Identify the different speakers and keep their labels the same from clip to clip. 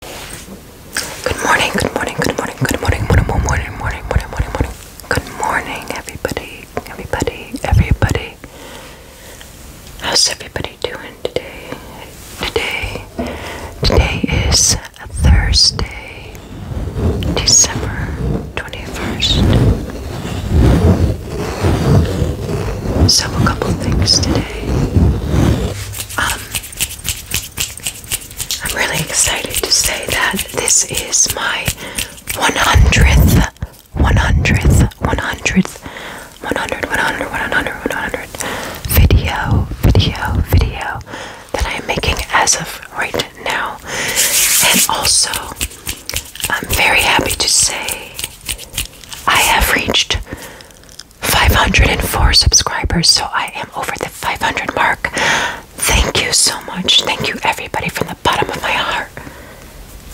Speaker 1: Good morning, good morning, good morning, good morning, morning, morning, morning, morning, morning, Good morning, everybody, everybody, everybody. How's everybody doing today? Today, today is Thursday, December 21st. So, a couple things today. Um, I'm really excited to say that this is my 100th, 100th, 100th, 100, 100, 100, 100, 100 video, video, video that I am making as of right now. And also, I'm very happy to say I have reached 504 subscribers, so I am over the 500 mark. Thank you so much. Thank you, everybody, from the bottom of my heart.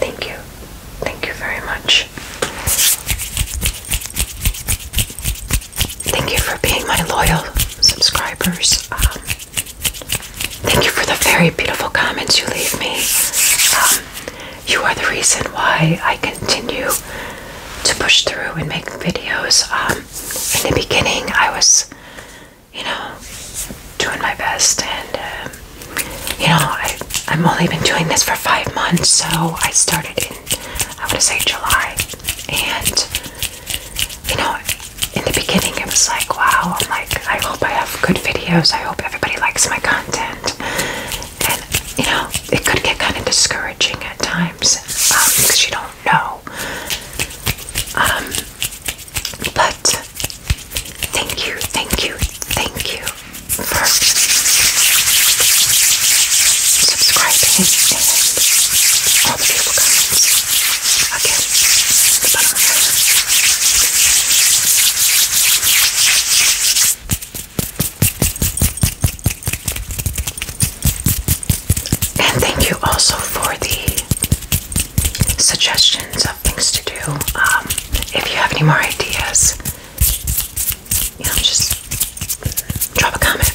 Speaker 1: Thank you. Thank you very much. Thank you for being my loyal subscribers. Um, thank you for the very beautiful comments you leave me. Um, you are the reason why I continue to push through and make videos. Um, in the beginning, I was, you know, doing my best, and um, you know, I, I'm only been doing this for five months, so I started in, I want to say July, and you know, in the beginning, it was like, wow, I'm like, I hope I have good videos, I hope everybody likes my content, and you know it could get kind of discouraging at times because um, you don't know. Um, but thank you, thank you, thank you for subscribing all the beautiful comments. Again, and thank you also for the suggestions of things to do. Um, if you have any more ideas, you know, just drop a comment.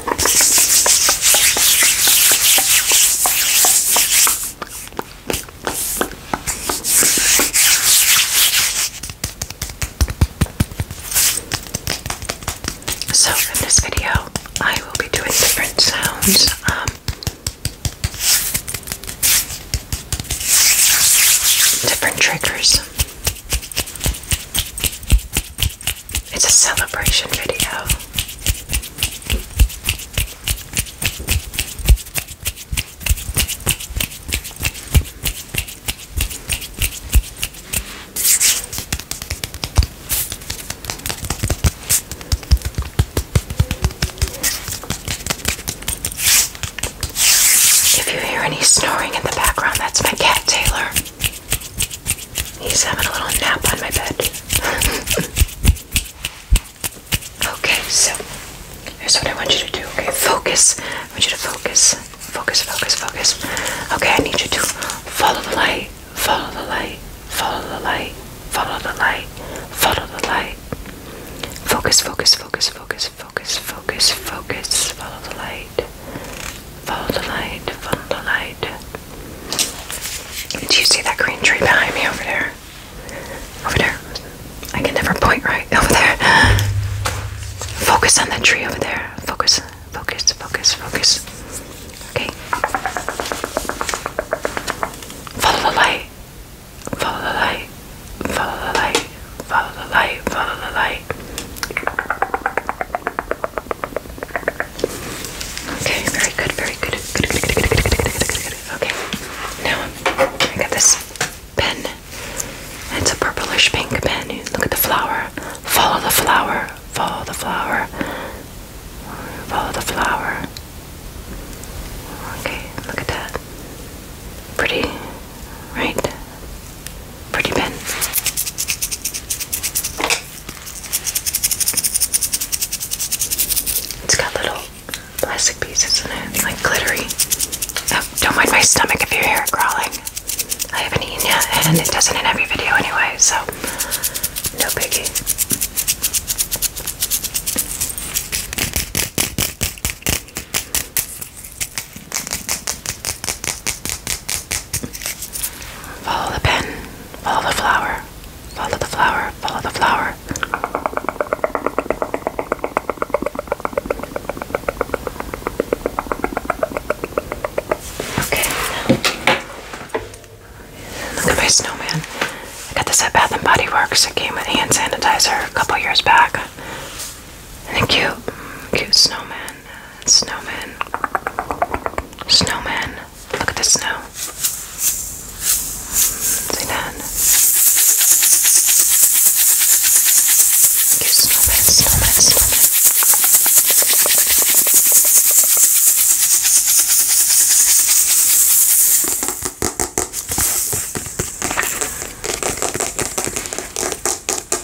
Speaker 1: So in this video, I will be doing different sounds. Um, different triggers it's a celebration video. If you hear any snoring in the background, that's my cat Taylor. He's having a little nap on my bed. okay, so here's what I want you to do. Okay, focus. I want you to focus. Focus, focus, focus. Okay, I need you to follow the light. Follow the light. Follow the light. Follow the light. Follow the light. Focus, focus, focus, focus, focus, focus, focus. Follow the light light, follow the light, follow the light. Do you see that green tree behind me over there? Over there. I can never point right. Over there. Focus on that tree over there. Focus, focus, focus, focus. Okay. Follow the light. Follow the light. Follow the light. Follow the light. Follow the light. Okay, very good, very good. Okay, now I got this pen. It's a purplish pink pen. look at the flower. Follow the flower. Follow the flower. Follow the flower. Okay, look at that. Pretty, right? Pretty pin. It's got little plastic pieces in it, like glittery. Oh, don't mind my stomach if you hear it crawling. I haven't eaten yet, and it doesn't in every video anyway, so no biggie. Follow the pen, follow the flower, follow the flower, follow the flower. Okay, look at my snowman. I got this at Bath and Body Works. It came with hand sanitizer a couple years back. And a cute, cute snowman. Snowman, snowman, Look at the snow. See that? Give snowmen, snowmen,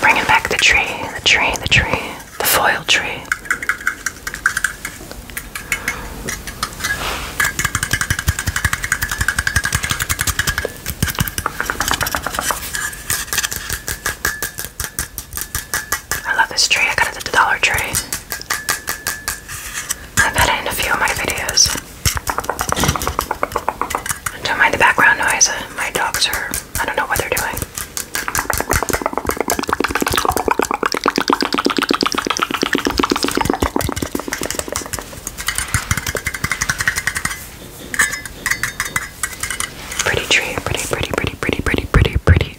Speaker 1: Bringing back the tree, the tree, the tree, the foil tree. I love this tree. I got it at the Dollar Tree. I've had it in a few of my videos. don't mind the background noise. Uh, my dogs are, I don't know what they're doing. Pretty tree, pretty, pretty, pretty, pretty, pretty, pretty, pretty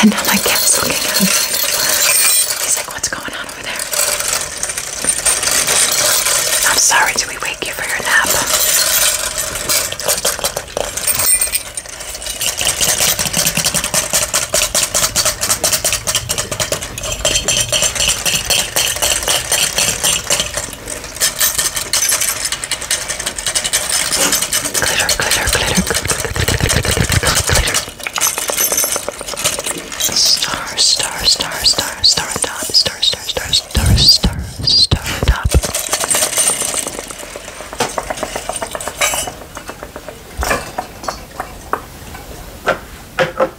Speaker 1: And now my cat's looking at me. He's like, what's going on over there? I'm sorry, did we wake you for your nap? Glitter, glitter, glitter, glitter. Star, star, star, star, star on top. Star, star, star, star, star, star on top. Okay.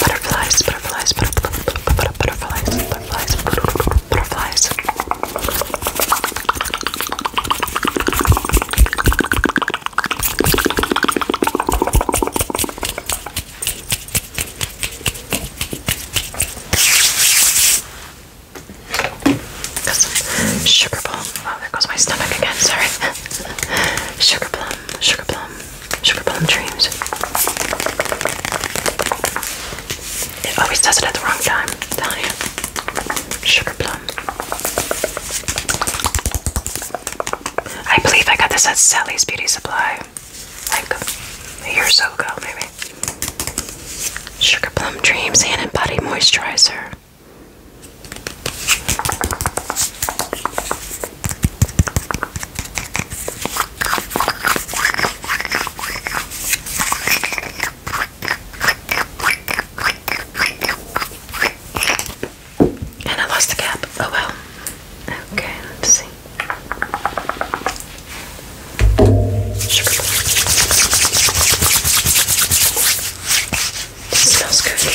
Speaker 1: Butterflies, butterflies, butterflies, butterflies, butterflies, butterflies. Sugar plum. Oh, there goes my stomach again. Sorry. sugar plum. Sugar plum. Sugar plum dreams. It always does it at the wrong time. i you. Sugar plum. I believe I got this at Sally's Beauty Supply. Like a year so ago, maybe. Sugar Plum Dreams Hand and Body Moisturizer. And I lost the cap. Oh well. Okay, let's see. Sugar this smells good.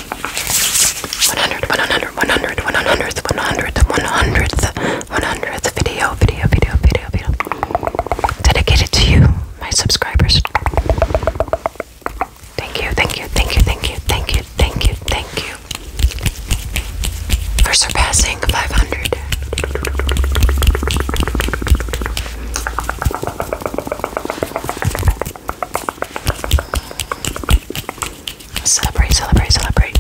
Speaker 1: 100, 100, 100, 100, 100, 100, 100, 100 video, video, video, video, video. Dedicated to you, my subscribers. Thank you, thank you, thank you, thank you, thank you, thank you, thank you. For surpassing 500. Celebrate, celebrate, celebrate.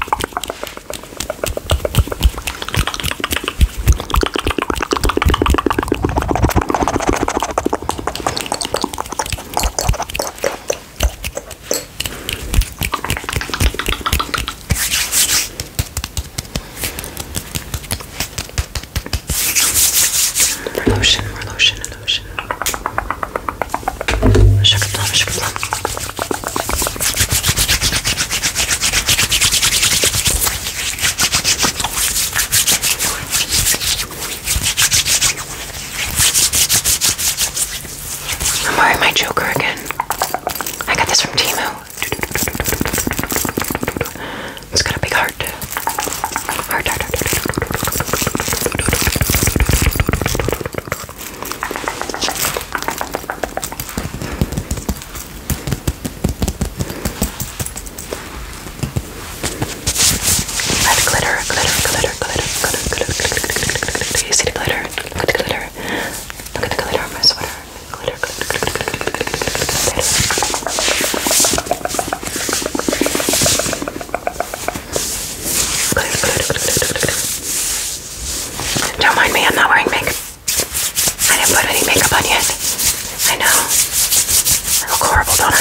Speaker 1: More lotion, more lotion, lotion. Sugar plum, sugar plum. I'm wearing my Joker again. I got this from Timo. It's got a big heart. Heart, heart, heart, heart. Red glitter, glitter, glitter, glitter, glitter, glitter, glitter, glitter. You see the glitter? Look at the glitter. Look at the glitter on my sweater. Glitter, glitter, glitter, glitter, glitter, glitter. Don't mind me, I'm not wearing makeup. I didn't put any makeup on yet. I know. I look horrible, don't I?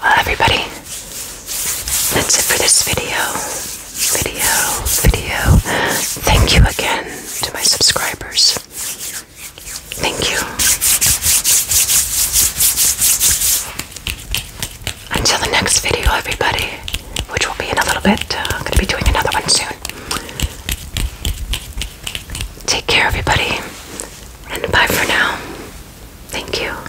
Speaker 1: Well, everybody, that's it for this video. Video, video. Thank you again to my subscribers. Thank you. Until the next video, everybody, which will be in a little bit. Uh, I'm going to be doing another one soon. Take care, everybody, and bye for now. Thank you.